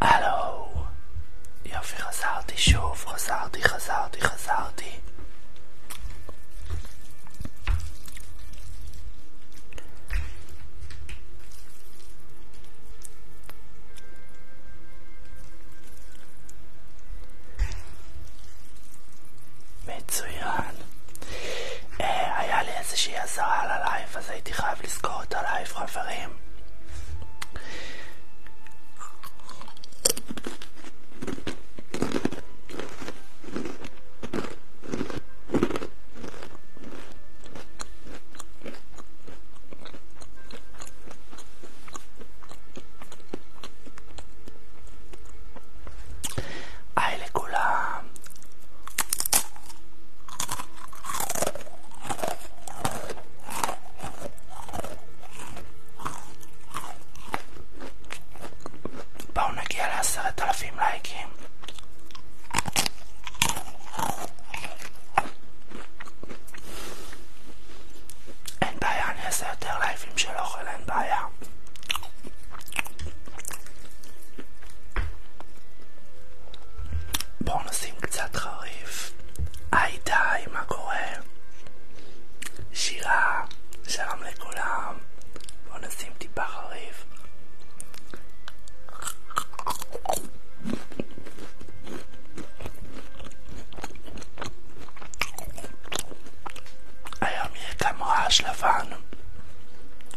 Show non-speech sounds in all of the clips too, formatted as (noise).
הלו, יופי חזרתי שוב, חזרתי, חזרתי, חזרתי. מצוין. אה, היה לי איזושהי אזהרה על הלייב, אז הייתי חייב לזכור את הלייב, חברים. בואו נגיע לעשרת אלפים לייקים אין בעיה, אני אעשה יותר לייבים של אוכל, אין בעיה בואו נשים קצת חריף. היי די, מה קורה? שירה, שלום לכולם. בואו נשים טיפה חריף. היום יהיה גם רעש לבן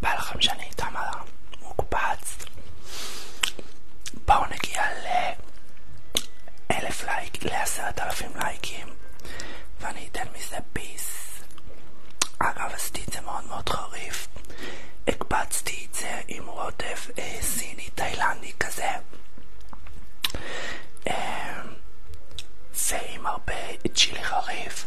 בא לכם שאני איתם על המוקפץ? בואו נגיע לאלף לייק, לעשרת אלפים לייקים ואני אתן מזה ביס. אגב, עשיתי את זה מאוד מאוד חריף. הקבצתי את זה עם רוטף אה, סיני תאילנדי כזה. אה, ועם הרבה צ'ילי חריף.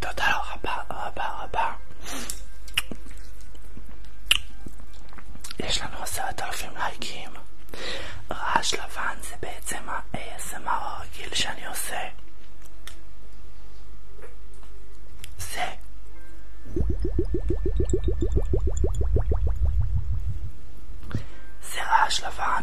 תודה רבה רבה רבה. יש לנו עשרת אלפים לייקים. רעש לבן זה בעצם ה-ASMR הרגיל שאני עושה. זה. זה רעש לבן.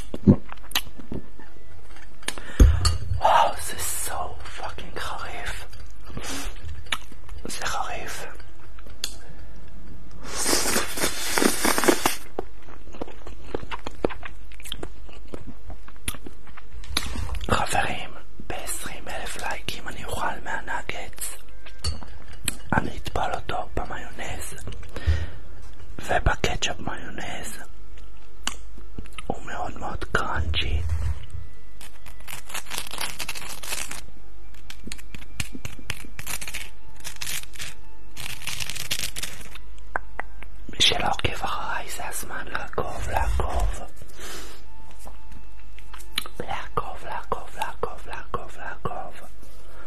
וואו, זה so fucking חריף. זה חריף. חברים, ב-20 אלף לייקים אני אוכל מהנגץ. אני אטבול אותו במיונז ובקטשופ מיונז הוא מאוד מאוד קראנצ'י מי שלא עוקב אחריי זה הזמן לעקוב, לעקוב לעקוב, לעקוב, לעקוב, לעקוב, לעקוב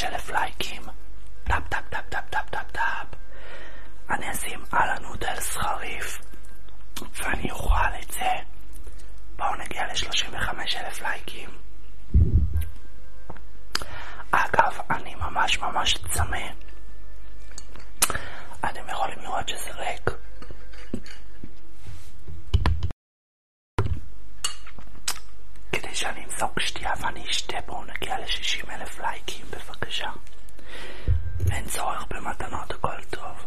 ל-35,000 (clears throat) לייקים. טאפ טאפ טאפ טאפ טאפ טאפ טאפ. אני אשים אהלן נודלס חריף. ואני אוכל את זה. בואו נגיע ל-35,000 לייקים. אגב, אני ממש ממש צמא. אתם יכולים לראות שזה ריק. כדי שאני אמזוג שתייה ואני אשתה, בואו נגיע ל-60,000 לייקים בבקשה. אין צורך במתנות, הכל טוב.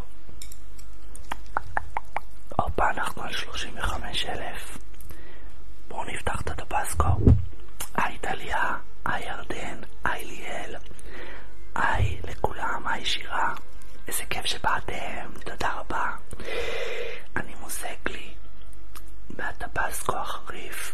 הופה, אנחנו על 35,000. בואו נפתח את הטבסקו. היי טליה, היי ירדן, היי ליאל, היי לכולם, היי שירה. איזה כיף שבאתם, תודה רבה. אני מוזג לי מהטבסקו החריף.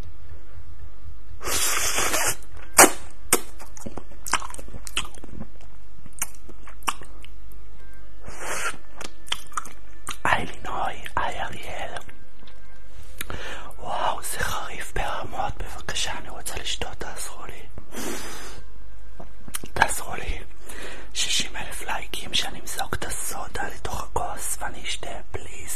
היי לינוי, היי אריאל. וואו, זה חריף ברמות. בבקשה, אני רוצה לשתות, תעזרו לי. תעזרו לי. 60 אלף לייקים שאני אמזוג את הסודה לתוך הכוס ואני אשתה, פליז.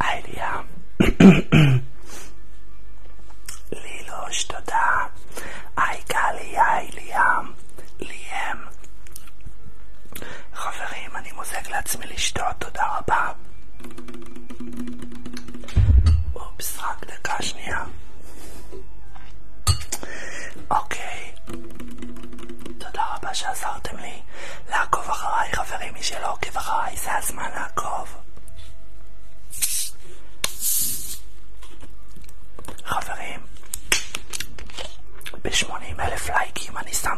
היי ליה. לילוש, תודה. היי גלי, היי ליאם. ליאם. חברים, אני מוזג לעצמי לשתות, תודה רבה. אופס, רק דקה שנייה. אוקיי, תודה רבה שעזרתם לי. לעקוב אחריי, חברים, מי שלא עוקב אחריי, זה הזמן לעקוב. חברים, ב-80 אלף לייקים אני שם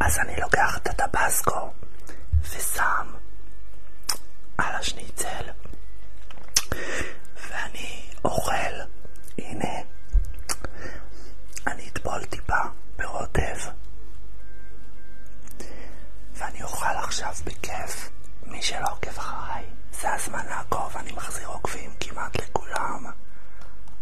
אז אני לוקח את הטבסקו ושם על השניצל ואני אוכל, הנה, אני אטבול טיפה ברוטב ואני אוכל עכשיו בכיף, מי שלא עוקב אחריי, זה הזמן לעקוב, אני מחזיר עוקבים כמעט לכולם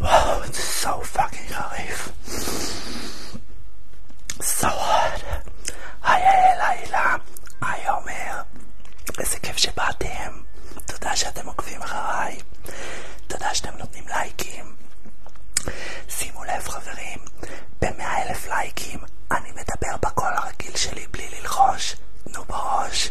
Wow, it's so fucking hot. So hot. היי היי לילה, היי עומר. איזה כיף שבאתם. תודה שאתם עוקבים אחריי. תודה שאתם נותנים לייקים. שימו לב חברים, במאה אלף לייקים אני מדבר בקול הרגיל שלי בלי ללחוש, תנו בראש.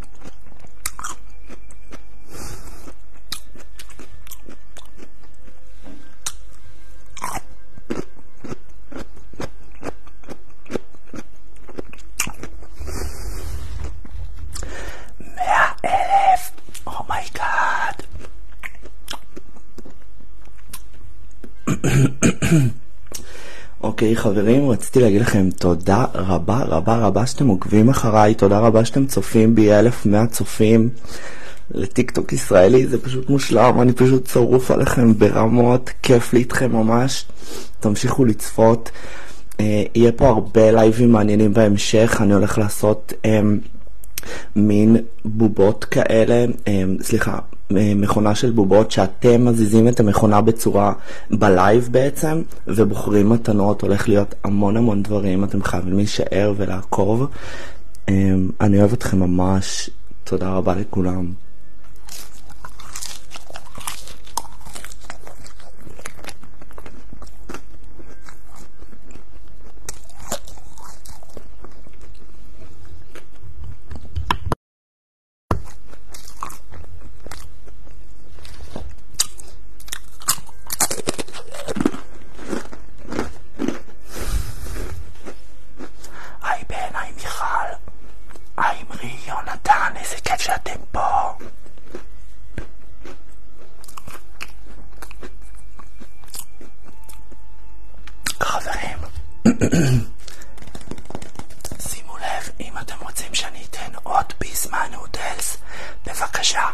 מאה אלף! אומייגאד! Oh (coughs) אוקיי חברים, רציתי להגיד לכם תודה. תודה רבה רבה רבה שאתם עוקבים אחריי, תודה רבה שאתם צופים בי, 1,100 צופים לטיקטוק ישראלי, זה פשוט מושלם, אני פשוט שרוף עליכם ברמות, כיף לי איתכם ממש, תמשיכו לצפות. אה, יהיה פה הרבה לייבים מעניינים בהמשך, אני הולך לעשות אה, מין בובות כאלה, אה, סליחה, אמ, מכונה של בובות שאתם מזיזים את המכונה בצורה בלייב בעצם ובוחרים מתנות, הולך להיות המון המון דברים, אתם חייבים להישאר ולעקוב. אמ, אני אוהב אתכם ממש, תודה רבה לכולם. היי בן, היי מיכל, היי אמרי, יונתן, איזה כיף שאתם פה. חברים, שימו לב, אם אתם רוצים שאני אתן עוד ביסמן נודלס, בבקשה.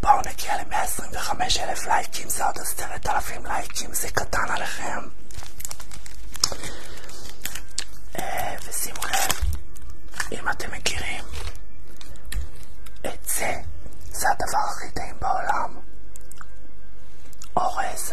בואו נגיע ל-125,000 לייקים, זה עוד 10,000 לייקים, זה קטן עליכם. אה, ושימו לב, אם אתם מכירים את זה, זה הדבר הכי טעים בעולם. אורז.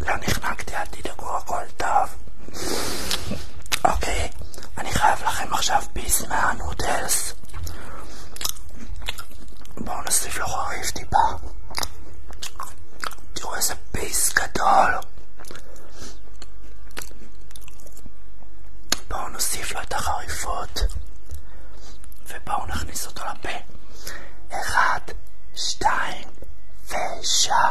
לא נחנקתי, אל תדאגו, הכל טוב. אוקיי, אני חייב לכם עכשיו פיס מהנודלס. בואו נוסיף לו חריף טיפה. תראו איזה ביס גדול. בואו נוסיף לו את החריפות ובואו נכניס אותו לפה. אחד, שתיים, ושם.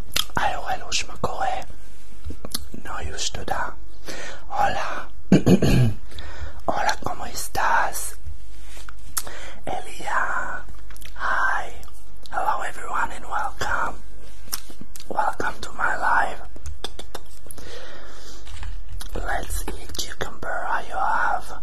Aló, aló, se me coge. No, justo da. Hola. (clears throat) Hola, ¿cómo estás? Elia. Hi. Hello, everyone, and welcome. Welcome to my live. Let's eat cucumber. I have.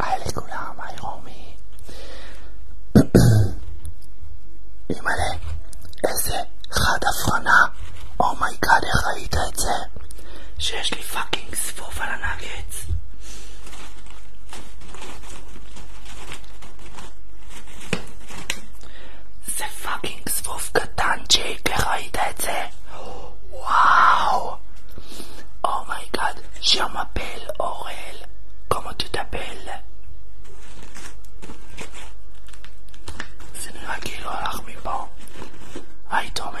היי לכולם, היי רומי. אימא'לה, איזה חד הפרנה. אומייגאד, איך ראית את זה? שיש לי פאקינג ספוף על הנגץ. זה פאקינג זבוב קטנצ'יק, איך ראית את זה? וואו! אומייגאד, oh שמפל אורל, כמו תטפל. זה נראה כאילו הלך מפה. היית אומר.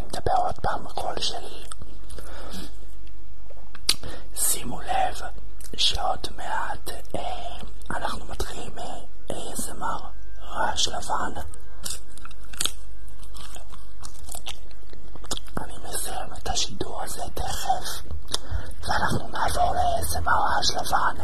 אני מדבר עוד פעם בקול שלי. שימו לב שעוד מעט אה, אנחנו מתחילים ASMR רעש לבן. אני מסיים את השידור הזה תכף, ואנחנו נעבור ל-ASMR רעש לבן.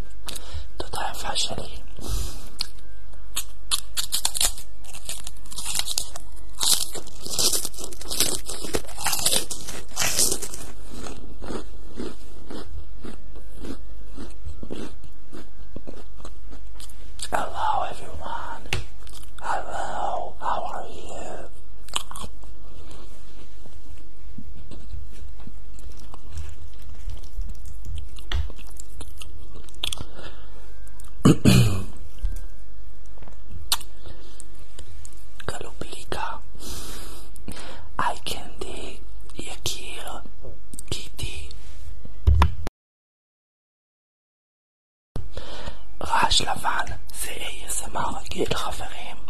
Hello everyone. Hello, how are you? Kalublika, Eye Candy, Yakira, Kitty, רעש לבן זה ASMR רגיל חברים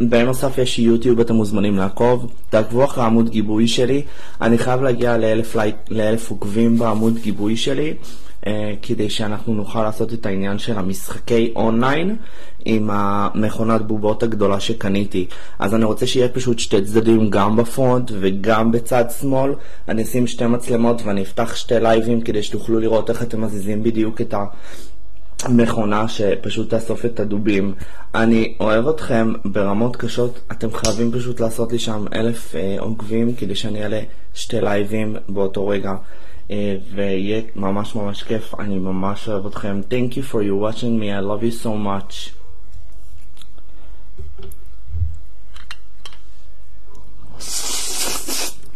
בנוסף יש יוטיוב, אתם מוזמנים לעקוב, תעקבו אחרי עמוד גיבוי שלי, אני חייב להגיע לאלף, לייק, לאלף עוקבים בעמוד גיבוי שלי, אה, כדי שאנחנו נוכל לעשות את העניין של המשחקי אונליין עם המכונת בובות הגדולה שקניתי. אז אני רוצה שיהיה פשוט שתי צדדים גם בפרונט וגם בצד שמאל, אני אשים שתי מצלמות ואני אפתח שתי לייבים כדי שתוכלו לראות איך אתם מזיזים בדיוק את ה... מכונה שפשוט תאסוף את הדובים. אני אוהב אתכם ברמות קשות, אתם חייבים פשוט לעשות לי שם אלף אה, עוקבים כדי שאני אעלה שתי לייבים באותו רגע. אה, ויהיה ממש ממש כיף, אני ממש אוהב אתכם. Thank you for you watching me, I love you so much.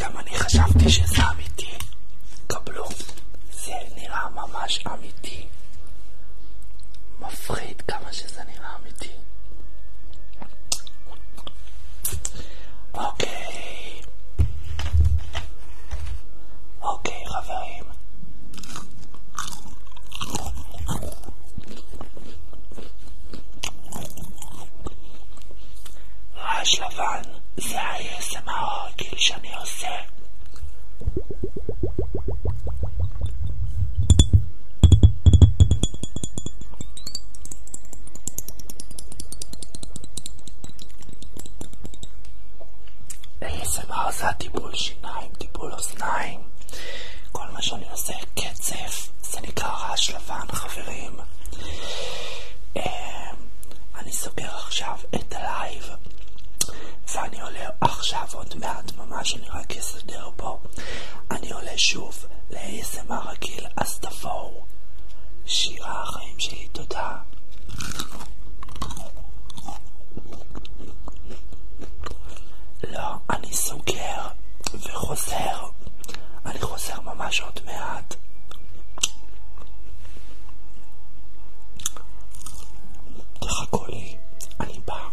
גם אני חשבתי שזה אמיתי. קבלו, זה נראה ממש כמה שזה אוקיי, חברים. רעש לבן זה ה-ASMR הרגיל שאני עושה. ASMR זה הטיפול שיניים, טיפול אוזניים. כל מה שאני עושה קצף, זה נקרא רעש לבן, חברים. אמ, אני סוגר עכשיו את הלייב, ואני עולה עכשיו עוד מעט, ממש אני רק אסדר פה. אני עולה שוב ל-ASMR רגיל, אז תבואו. שירה החיים שלי. אוקיי, תודה. לא, אני סוגר וחוזר. אני חוזר ממש עוד מעט. תחכו לי, אני בא.